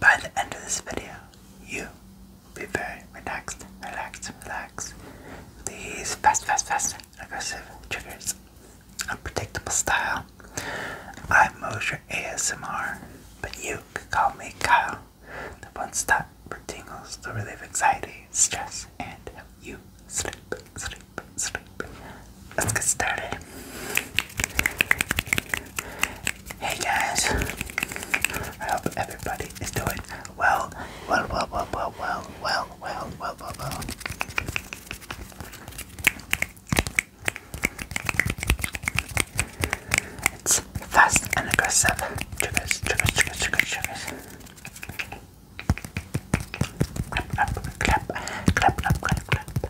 By the end of this video, you will be very relaxed, relaxed, relaxed. These fast, fast, fast, aggressive triggers, unpredictable style. I'm Mosher ASMR, but you can call me Kyle, the one stop for tingles to relieve anxiety, stress, and help you sleep, sleep, sleep. Let's get started. Hey guys, I hope everybody is doing well. Well, well, well, well, well, well, well, well, well, well. It's fast and aggressive. clap, clap, clap, clap, clap, clap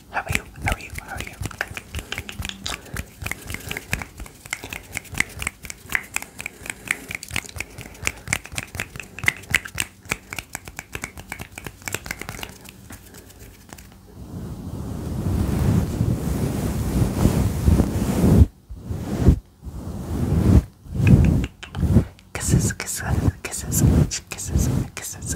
how are you? How are you? How are you? Kisses, kisses, kisses, kisses, kisses, kisses.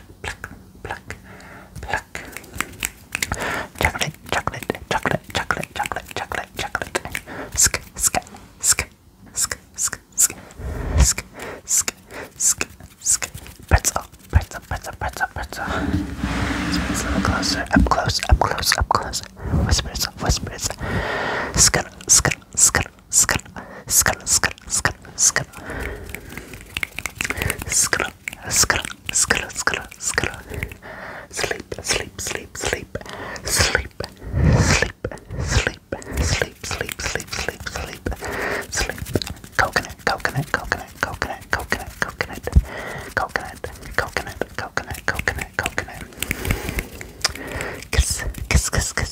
pluck, pluck, pluck, pluck. Chocolate, chocolate, chocolate, chocolate, chocolate, chocolate, chocolate. Sk, sk, sk, sk, sk, sk, sk, sk, sk, sk. Pretzel, pretzel, pretzel, pretzel, pretzel. Spreads a little closer, up close, up close, up close. Whispers, whispers. Skr, skr, skr, skr, skr, skr, skr, skr, skr, skr, skr, skr, skr. Sleep, sleep, sleep, sleep, sleep, sleep, sleep, sleep, sleep, sleep, sleep, sleep, sleep. Coconut, coconut, coconut, coconut, coconut, coconut, coconut, coconut, coconut, coconut, coconut. Kiss, kiss, kiss,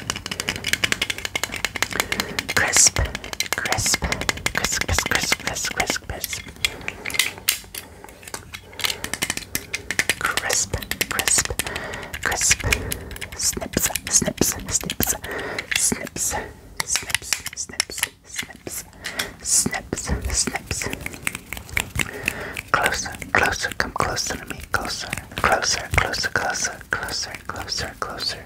Crisp, crisp, crisp, crisp, crisp, crisp, crisp, crisp. Crisp, crisp, crisp. Snips, snips, snips, snips, snips, snips, snips, snips, snips. Closer, closer, come closer to me, closer, closer, closer, closer, closer, closer, closer.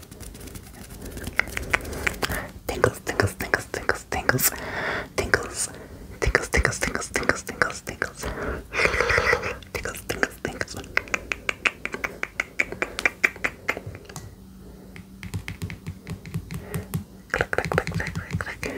Tingles, tingles, tingles, tingles, tingles, tingles, tingles, tingles, tingles, tingles, tingles, tingles, tingles, tingles, tingles. Click, click, click, click, click, click.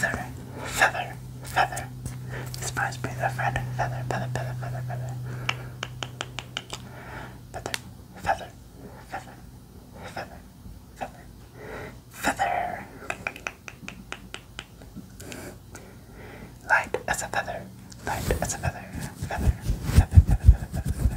Feather Feather, feather. This must be the friend. Feather, feather, feather, feather, feather. Feather, feather, feather, feather, feather, feather. Light as a feather. Light as a feather. Feather, feather, feather, feather, feather, feather.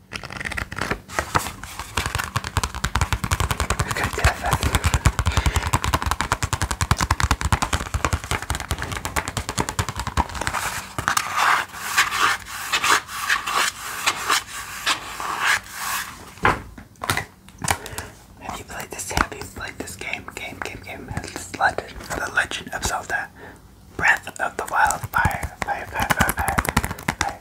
Have you played this? Have you played this game? Game, game, game. This legend, the Legend of Zelda, Breath of the Wild. fire, fire, fire, fire, fire.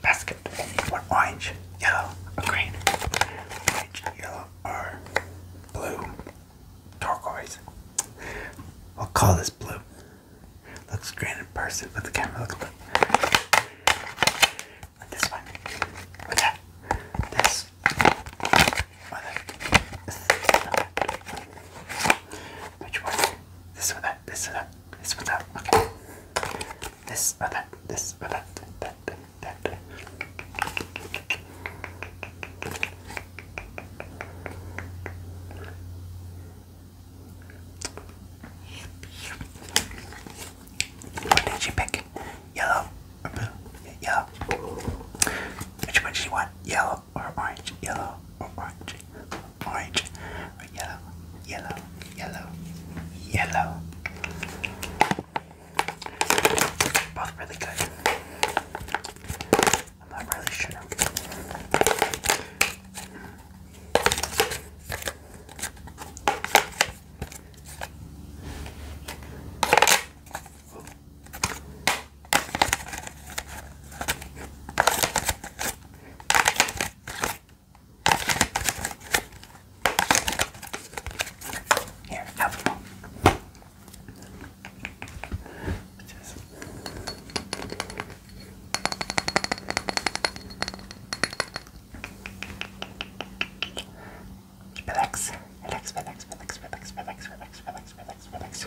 basket. One orange, yellow, green. Orange, yellow, or blue. Turquoise. i will call this blue. Looks green in person, but the camera looks blue. And this one. What's that? This. Which one? This one, that, this one, that, this one, that. Okay this or that, this or that, that, that, that. What did you pick? Yellow or blue? Yellow. Which one do you want? Yellow or orange? Yellow or orange? Orange or yellow? Yellow yellow, yellow. Both really good. I'm not really sure. Here, have one. Just... Relax, relax, relax, relax, relax, relax, relax, relax, relax, relax.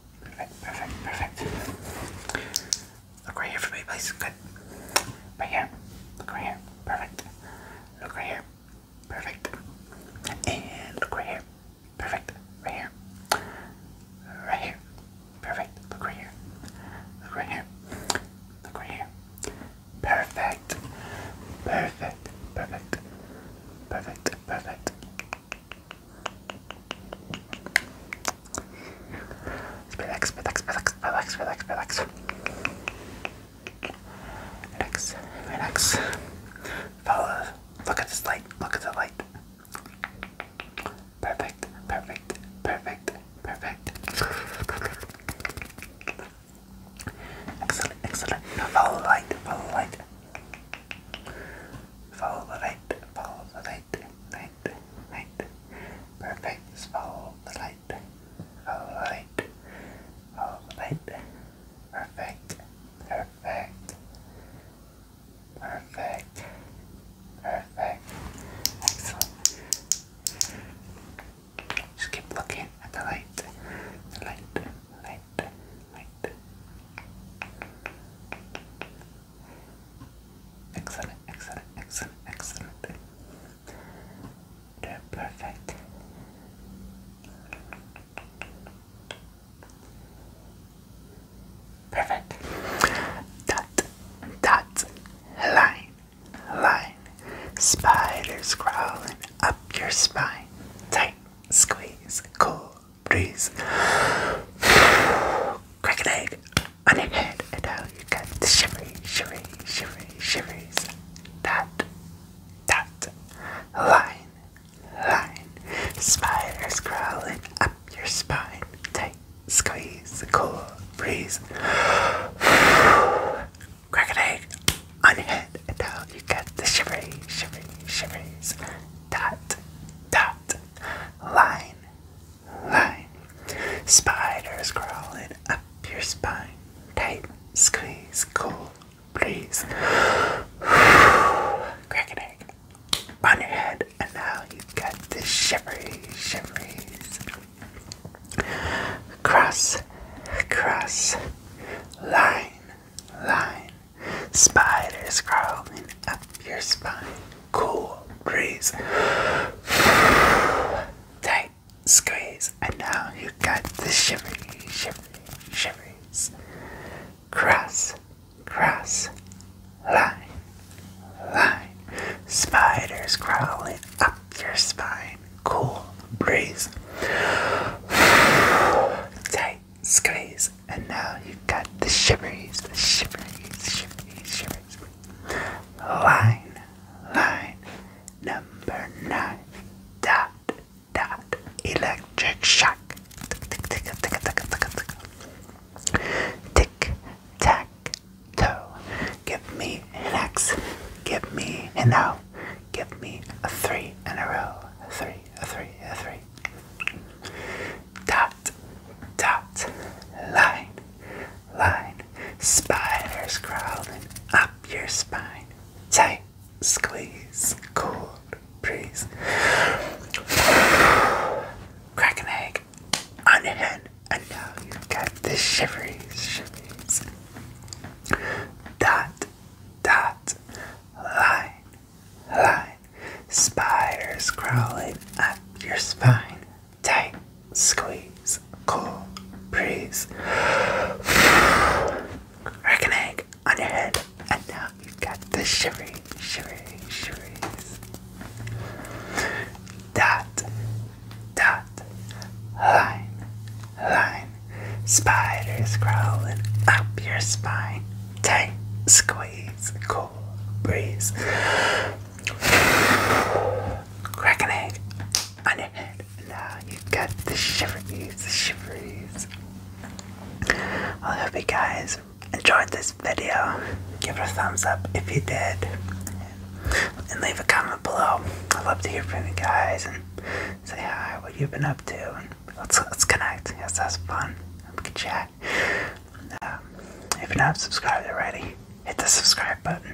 Perfect, perfect, perfect. Look right here for please. Good. Right here. Look right here. Perfect. Look right here. Perfect. And look right here. Perfect. Right here. Right here. Perfect. Look right here. Look right here. Look right here. Perfect. Perfect. Perfect. Perfect. Perfect. Relax, relax, relax, relax, relax, relax. Relax, relax. Follow. Look at this light. Look at the light. Perfect, perfect, perfect, perfect. Excellent, excellent. Now follow the light, follow the light. Follow the light, follow the light light, light, Perfect. Just follow the light. Follow the light. Follow the light. Perfect. Perfect. Perfect. Perfect. Excellent. Just keep looking at the light. light. Light. Light. Excellent, excellent, excellent, excellent. They're perfect. Perfect. Dot, dot, line, line. Spiders crawling up your spine. Tight, squeeze, cool, breathe. Crack egg on your head, and you got the shivery, shivery, shivery, shiveries. Dot, dot, line, line. Spiders crawling up your spine. Tight, squeeze, cool breeze. Crack egg on your head, and you got the shivery, shivery, shiveries dot dot line line spiders crawling up your spine tight squeeze cool breeze crack an egg on your head and now you've got the shivery shiveries cross cross line line Spiders crawling up your spine. Cool breeze. Tight squeeze. And now you got the shimmy, shimmy, shimmies. Cross, cross, line, line. Spiders crawling up your spine. Cool breeze. Tight night skies, and now you got the shivers, the shivers, shivers, shivers. Line, line, number nine, dot, dot, electric shock. Tick, tick, tick, tick, tick, tick, tick. Tick, tack, toe. Give me an X, give me an O, give me a three in a row, a three, a three, a three, Dot, dot, line, line, spiders crawling up your spine. Tight, squeeze, Cool breeze. Crack an egg on your head, and now you've got the shiveries, shiveries. Dot, dot, line, line. Spiders crawling up your spine. Tight squeeze. Cool breeze. Crack an egg on your head. And now you got the shivery, shivery, shiveries. Dot, dot, line, line. Spiders crawling up your spine. Tight squeeze, cool breeze. Crack an on your head. Now you got the shiveries, the shiveries. I hope you guys enjoyed this video. Give it a thumbs up if you did. And leave a comment below. I'd love to hear from you guys and say hi, what you've been up to. Let's let's connect. Yes, that's fun. We can chat. Um, if you're not subscribed already, hit the subscribe button.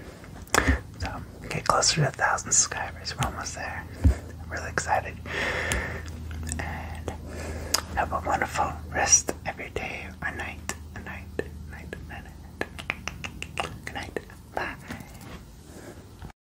So get closer to a thousand subscribers. We're almost there. I'm really excited. have a wonderful rest every day or night. night. night. night. night. Good night. Bye.